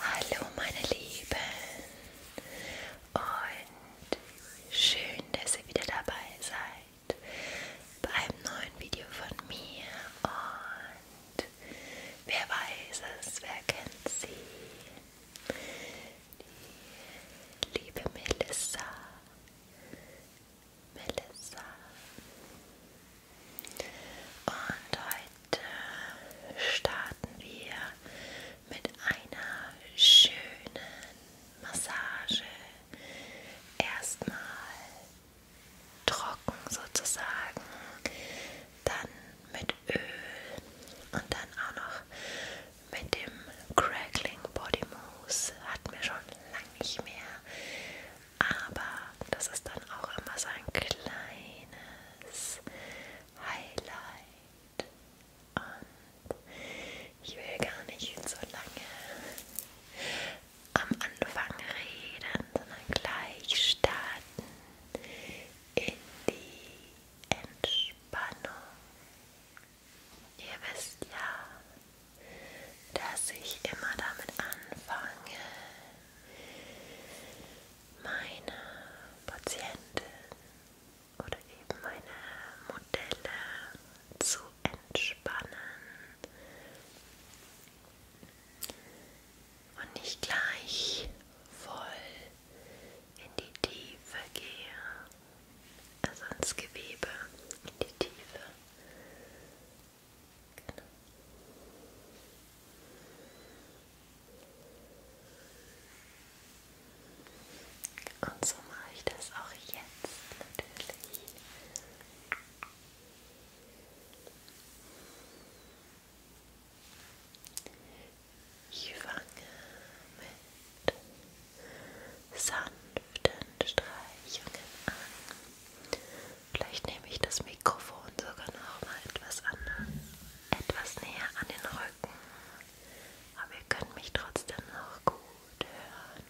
Hallo meine Lieben und schön, dass ihr wieder dabei seid bei einem neuen Video von mir und wer weiß es, wer kennt sie? Die liebe Melissa. Melissa. Und starten wir mit einer schönen Massage. Erstmal trocken sozusagen, dann mit Öl und dann auch noch mit dem Crackling Body Mousse. Hatten wir schon lange nicht mehr, aber das ist dann auch immer so ein kleines Highlight und ich will gar nicht so lange am Anfang reden, sondern gleich starten in die Entspannung. Ihr wisst ja, dass ich immer damit anfange, meine Patienten oder eben meine Modelle zu entspannen und nicht gleich voll in die Tiefe gehe, also ins Gewebe, in die Tiefe. Genau. Und so mache ich das auch jetzt natürlich. Ich fange mit sanften Streichungen an. Vielleicht nehme ich das Mikrofon sogar noch mal etwas anders, etwas näher an den Rücken. Aber ihr könnt mich trotzdem noch gut hören.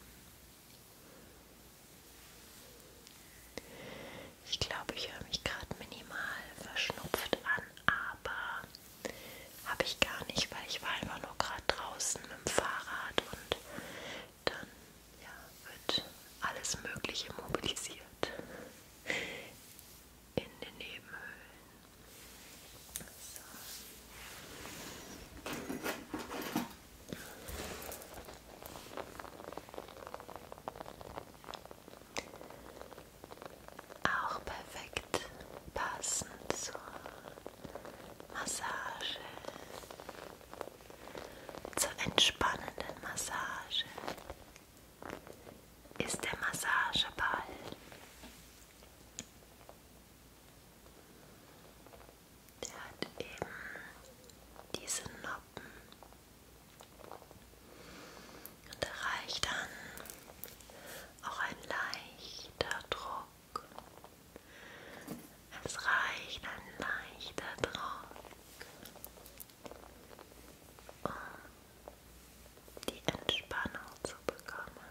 Ich glaube, ich höre mich gerade minimal verschnupft an, aber habe ich gar nicht, weil ich war einfach nur gerade draußen mit dem Fahrrad und dann ja, wird alles Mögliche mobilisiert in den Nebenhöhlen. So. Auch perfekt passend zur Massage, zur entspannenden Massage ist der Massageball. Der hat eben diese Noppen und da reicht dann auch ein leichter Druck. Es reicht ein leichter Druck um die Entspannung zu bekommen.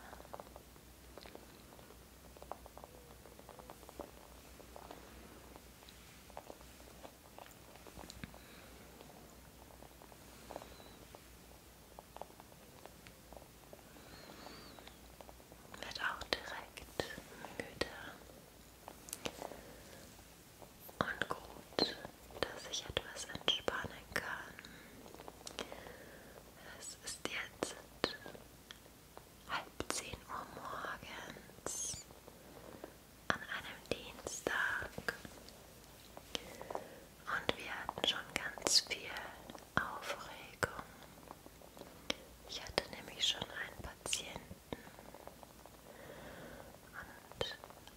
Wird auch direkt müde und gut, dass ich etwas entspannen kann. Es ist jetzt halb zehn Uhr morgens an einem Dienstag und wir hatten schon ganz viel Aufregung. Ich hatte nämlich schon einen Patienten,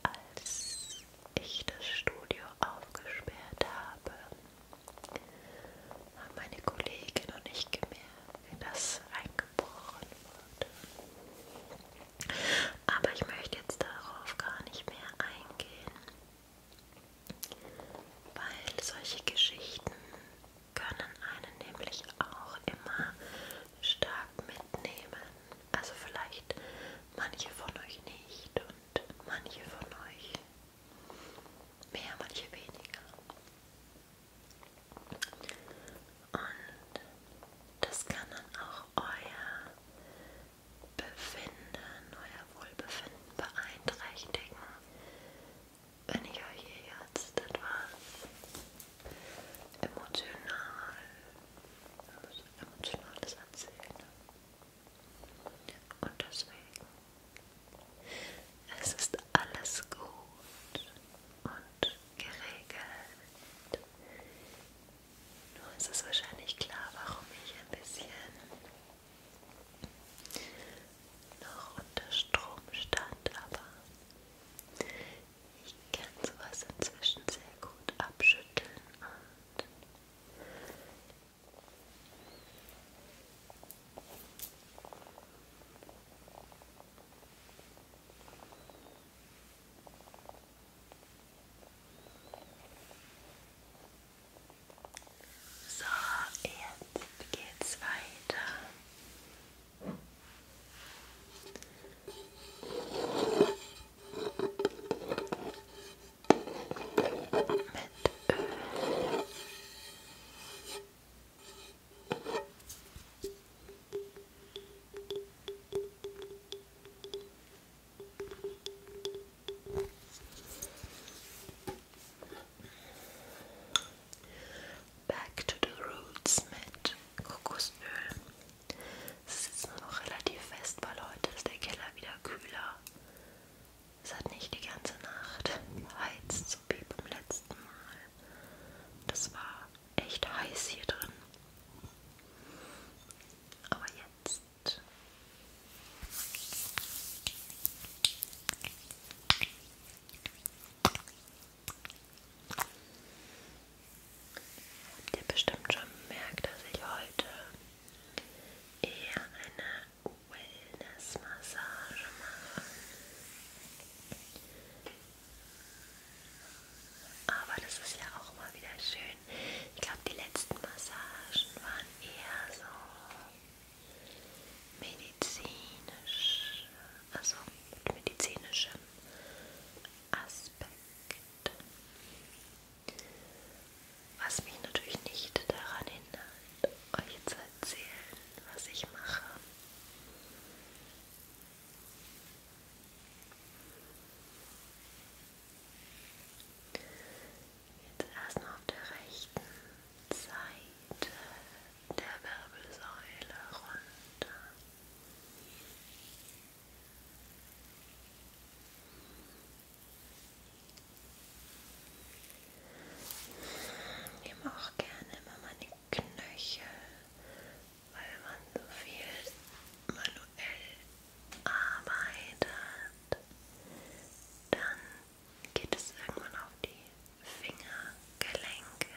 und als ich das Studio aufgesperrt habe, haben meine Kollegin und ich gemerkt, dass eingebrochen wurde. Aber ich möchte jetzt darauf gar nicht mehr eingehen, weil solche Geschichten können einen nämlich auch immer stark mitnehmen. Also vielleicht manche von euch nicht und manche von euch mehr, manche weniger. Und das kann dann auch euer Befinden, euer Wohlbefinden beeinträchtigen, wenn ich euch hier jetzt etwas emotional, emotionales Erzählen. Und deswegen, es ist alles gut und geregelt. Nur ist es wahrscheinlich klar, warum ich ein bisschen noch unter Strom stand, aber ich kann sowas inzwischen sehr gut abschütteln und so, jetzt geht's weiter. Back to the roots mit Kokosöl. Es ist nur noch relativ fest, weil heute ist der Keller wieder kühler. Es hat nicht die ganze Nacht heizt, so wie beim letzten Mal. Das war echt heiß hier drin. Aber jetzt. Habt ihr bestimmt schon bemerkt, dass ich heute eher eine Wellness-Massage mache. Aber das ist ja auch mal wieder schön. Ich glaube, die letzten Massagen waren eher so medizinisch, also mit medizinischem Aspekt. Was mich natürlich nicht daran hindert, euch zu erzählen, was ich mache. Jetzt erstmal auf der rechten Seite der Wirbelsäule runter. Ich nehme auch gerne immer meine Knöchel, weil man so viel manuell arbeitet. Dann geht es irgendwann auf die Fingergelenke.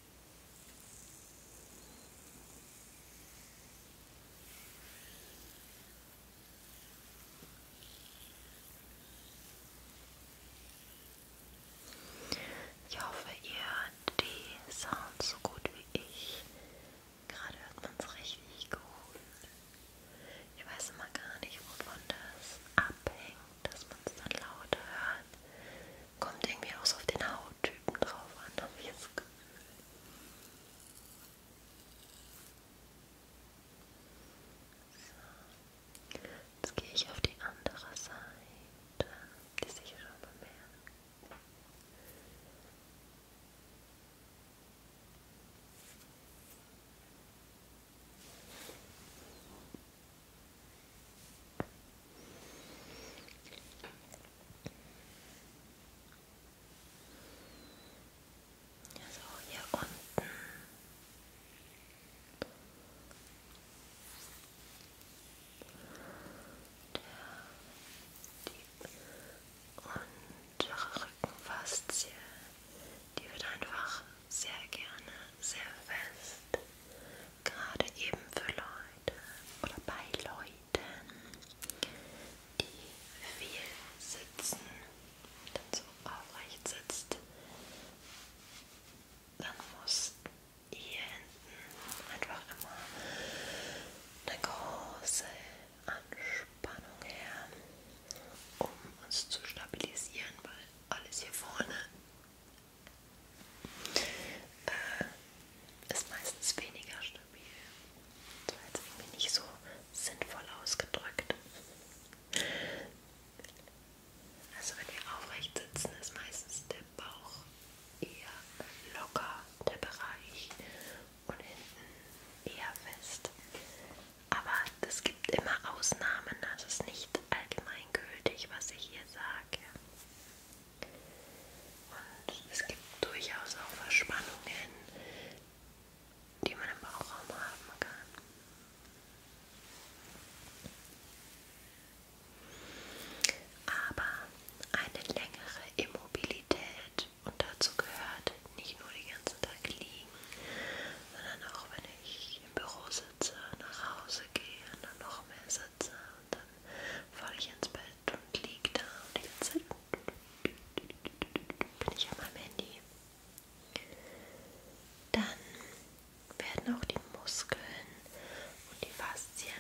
Ich hoffe, ihr hört die Sounds so gut wie ich. Gerade hört man es richtig gut. Ich weiß immer gar nicht, wovon das abhängt, dass man es dann laut hört. Kommt irgendwie auch so auf den Hauttypen drauf an, habe ich das Gefühl. So. Jetzt gehe ich auf die andere Seite, die sich schon bemerkt. So, hier unten. Der, die untere Rückenfaszie, die wird einfach sehr gerne, sehr fest, gerade eben verläuft. Leute oder bei Leuten, die viel sitzen, dann so aufrecht sitzt, dann muss hier hinten einfach immer eine große Anspannung her, um uns zu stabilisieren, weil alles hier vorne äh, ist meistens weniger stabil. Das war jetzt irgendwie nicht so sinnvoll ausgedrückt. Also wenn wir aufrecht sitzen, ist meistens der Bauch eher locker, der Bereich und hinten eher fest. Aber es gibt immer Ausnahmen, das also ist nicht allgemeingültig, was ich hier sage. Und es gibt durchaus auch Verspannungen, die man im Bauchraum haben kann. Aber eine längere Immobilität und dazu gehört nicht nur den ganzen Tag liegen, sondern auch wenn ich im Büro sitze, nach Hause gehe und dann noch mehr sitze und falle ich ins Bett und liege da und die ganze Zeit bin ich an meinem Handy. Dann werden auch die Muskeln und die Faszien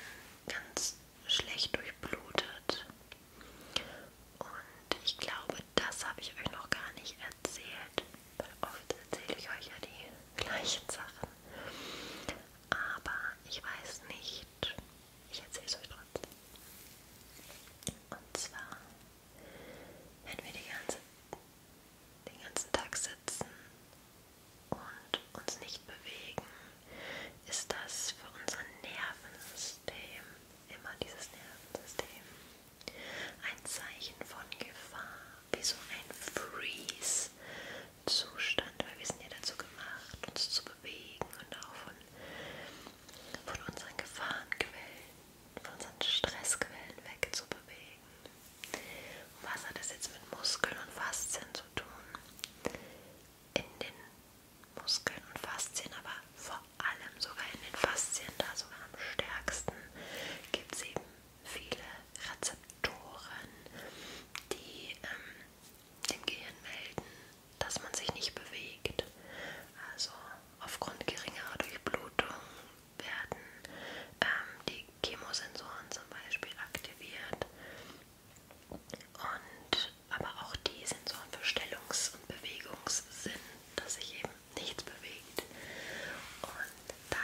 ganz schlecht durchblutet. Und ich glaube, das habe ich euch noch gar nicht erzählt, weil oft erzähle ich euch ja die gleichen Sachen aber ich weiß nicht, ich erzähle es euch trotzdem. Und zwar, wenn wir die ganze, den ganzen Tag sitzen und uns nicht bewegen, ist das für unser Nervensystem, immer dieses Nervensystem, ein Zeichen von Gefahr, wie so ein Freeze, Zustand, weil wir sind ja dazu gemacht, uns zu bewegen und auch von, von unseren Gefahrenquellen, von unseren Stressquellen wegzubewegen. Und was hat das jetzt mit Muskeln und Faszien zu tun? In den Muskeln und Faszien, aber vor allem sogar in den Faszien, da sogar am stärksten, gibt es eben viele Rezeptoren, die ähm, dem Gehirn melden, dass man sich nicht bewegt. Also aufgrund geringerer Durchblutung werden ähm, die Chemosensoren zum Beispiel aktiviert und aber auch die Sensoren für Stellungs- und Bewegungssinn, dass sich eben nichts bewegt. Und dann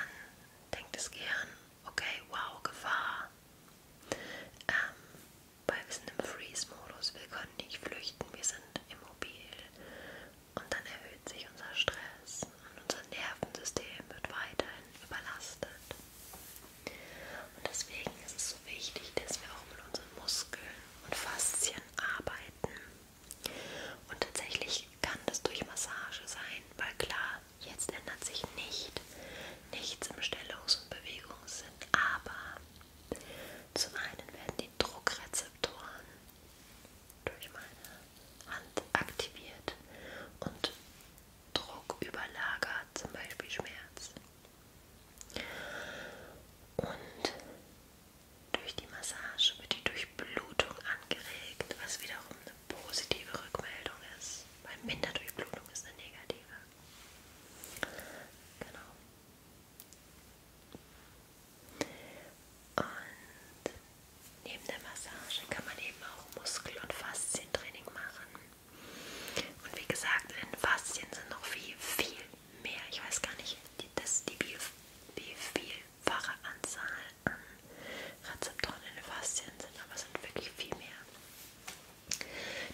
denkt das Gehirn, okay, wow, Gefahr, ähm, weil wir sind im Freeze-Modus, wir können nicht flüchten, wir sind immobil. Und dann erhöht sich unser Stress und unser Nervensystem wird weiterhin überlastet. Und deswegen ist es so wichtig, dass wir auch mit unseren Muskeln und Faszien arbeiten. Und tatsächlich kann das durch Massage sein, weil klar, Jetzt ändert sich nicht nichts im Stellungs- und Bewegungssinn, aber zum einen werden die Druckrezeptoren durch meine Hand aktiviert und Druck überlagert, zum Beispiel Schmerz. Und durch die Massage wird die Durchblutung angeregt, was wiederum eine positive Rückmeldung ist, weil Minderdurchblutung ist eine negative. Genau. Und neben der Massage kann man eben auch Muskel- und Faszientraining machen. Und wie gesagt, in Faszien sind noch viel, viel mehr. Ich weiß gar nicht, das ist die vielfache Anzahl an ähm, Rezeptoren in den Faszien sind, aber es sind wirklich viel mehr.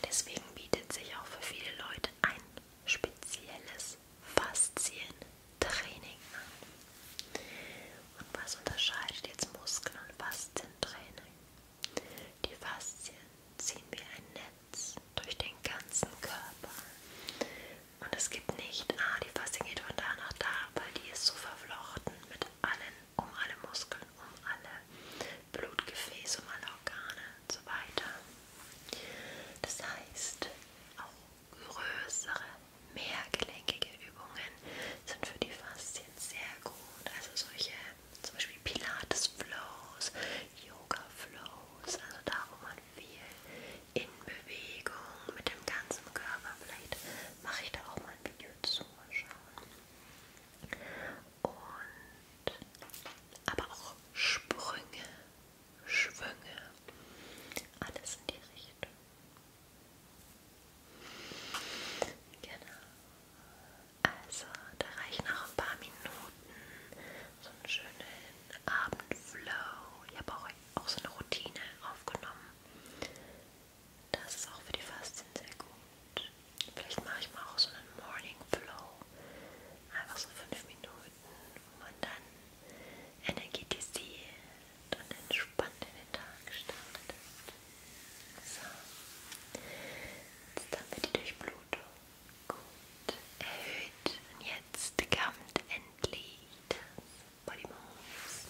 Deswegen bietet sich auch für viele Leute ein spezielles Faszientraining an. Und was unterscheidet jetzt Muskeln und Faszientraining? Die Faszien ziehen wie ein Netz durch den ganzen Körper. Und es gibt nicht, ah, die Faszien geht von da nach da, weil die ist so verflochten mit allen um alle Muskeln, um alle Blutgefäße, um alle Organe und so weiter. Das heißt, auch größere, mehrgelenkige Übungen sind für die Faszien sehr gut. Also solche zum Beispiel Pilates-Flows, Yoga-Flows, also da wo man viel in Bewegung mit dem ganzen Körper, vielleicht mache ich da auch mal ein Video zu, mal schauen. Und aber auch Sprünge, Schwünge, alles in die Richtung. Genau. Also, da reichen noch ein paar Minuten. So einen schönen Abendflow. Ich habe auch, auch so eine Routine aufgenommen. Das ist auch für die Faszien sehr gut. Vielleicht mache ich mal auch so einen Morning Flow. Einfach so fünf Minuten, wo man dann energetisiert und entspannt in den Tag startet. So. Jetzt haben wir die Durchblutung. Gut. Erhöht. Und jetzt kommt endlich das Body Moves.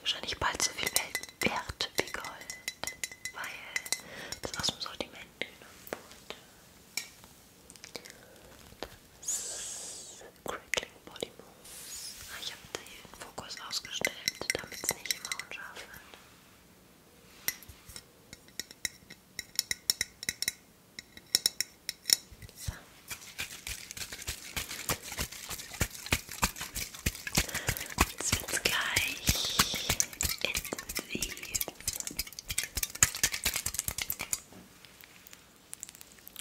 Wahrscheinlich bald so viel wert wie Gold, weil das aus dem Sortiment genommen wurde. Das Crackling Body Mousse. Ah, ich habe den Fokus ausgestellt, damit es nicht immer unscharf wird. So. Jetzt wird's gleich intensiv.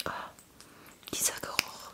Oh, dieser Geruch.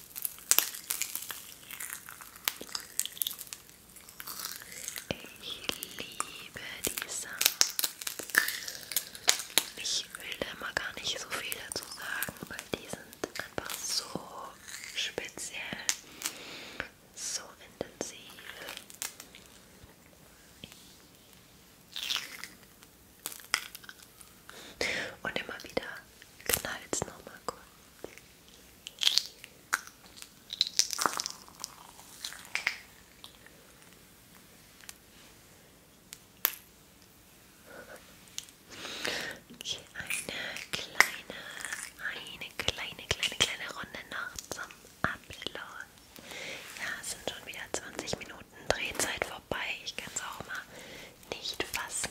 Ich liebe die Sounds. Ich will da immer gar nicht so viel dazu sagen, weil die sind einfach so speziell, so intensiv. Und immer wieder knallt es nochmal kurz. Okay, eine kleine, eine kleine, kleine, kleine Runde noch zum Abschluss. Ja, es sind schon wieder 20 Minuten Drehzeit vorbei. Ich kann es auch mal nicht fassen.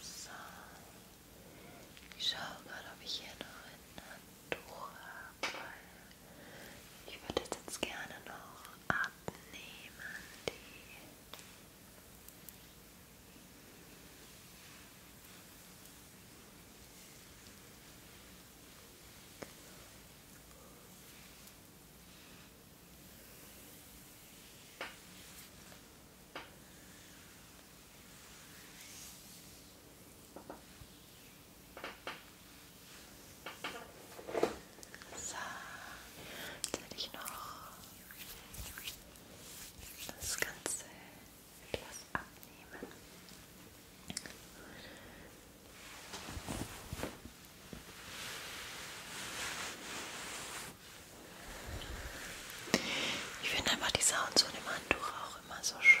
So. Ich schaue gerade, ob ich hier noch ein Handtuch habe, weil ich würde das jetzt gerne noch abnehmen. Die so, jetzt hätte ich noch das Ganze etwas abnehmen. Ich finde einfach die Sounds so dem Handtuch auch immer so schön.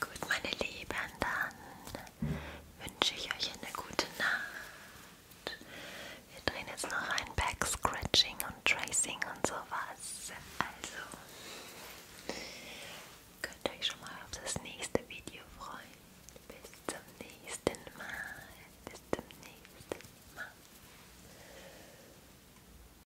Gut, meine Lieben, dann wünsche ich euch eine gute Nacht. Wir drehen jetzt noch ein Back-Scratching und Tracing und sowas. Also könnt ihr euch schon mal auf das nächste Video freuen. Bis zum nächsten Mal. Bis zum nächsten Mal.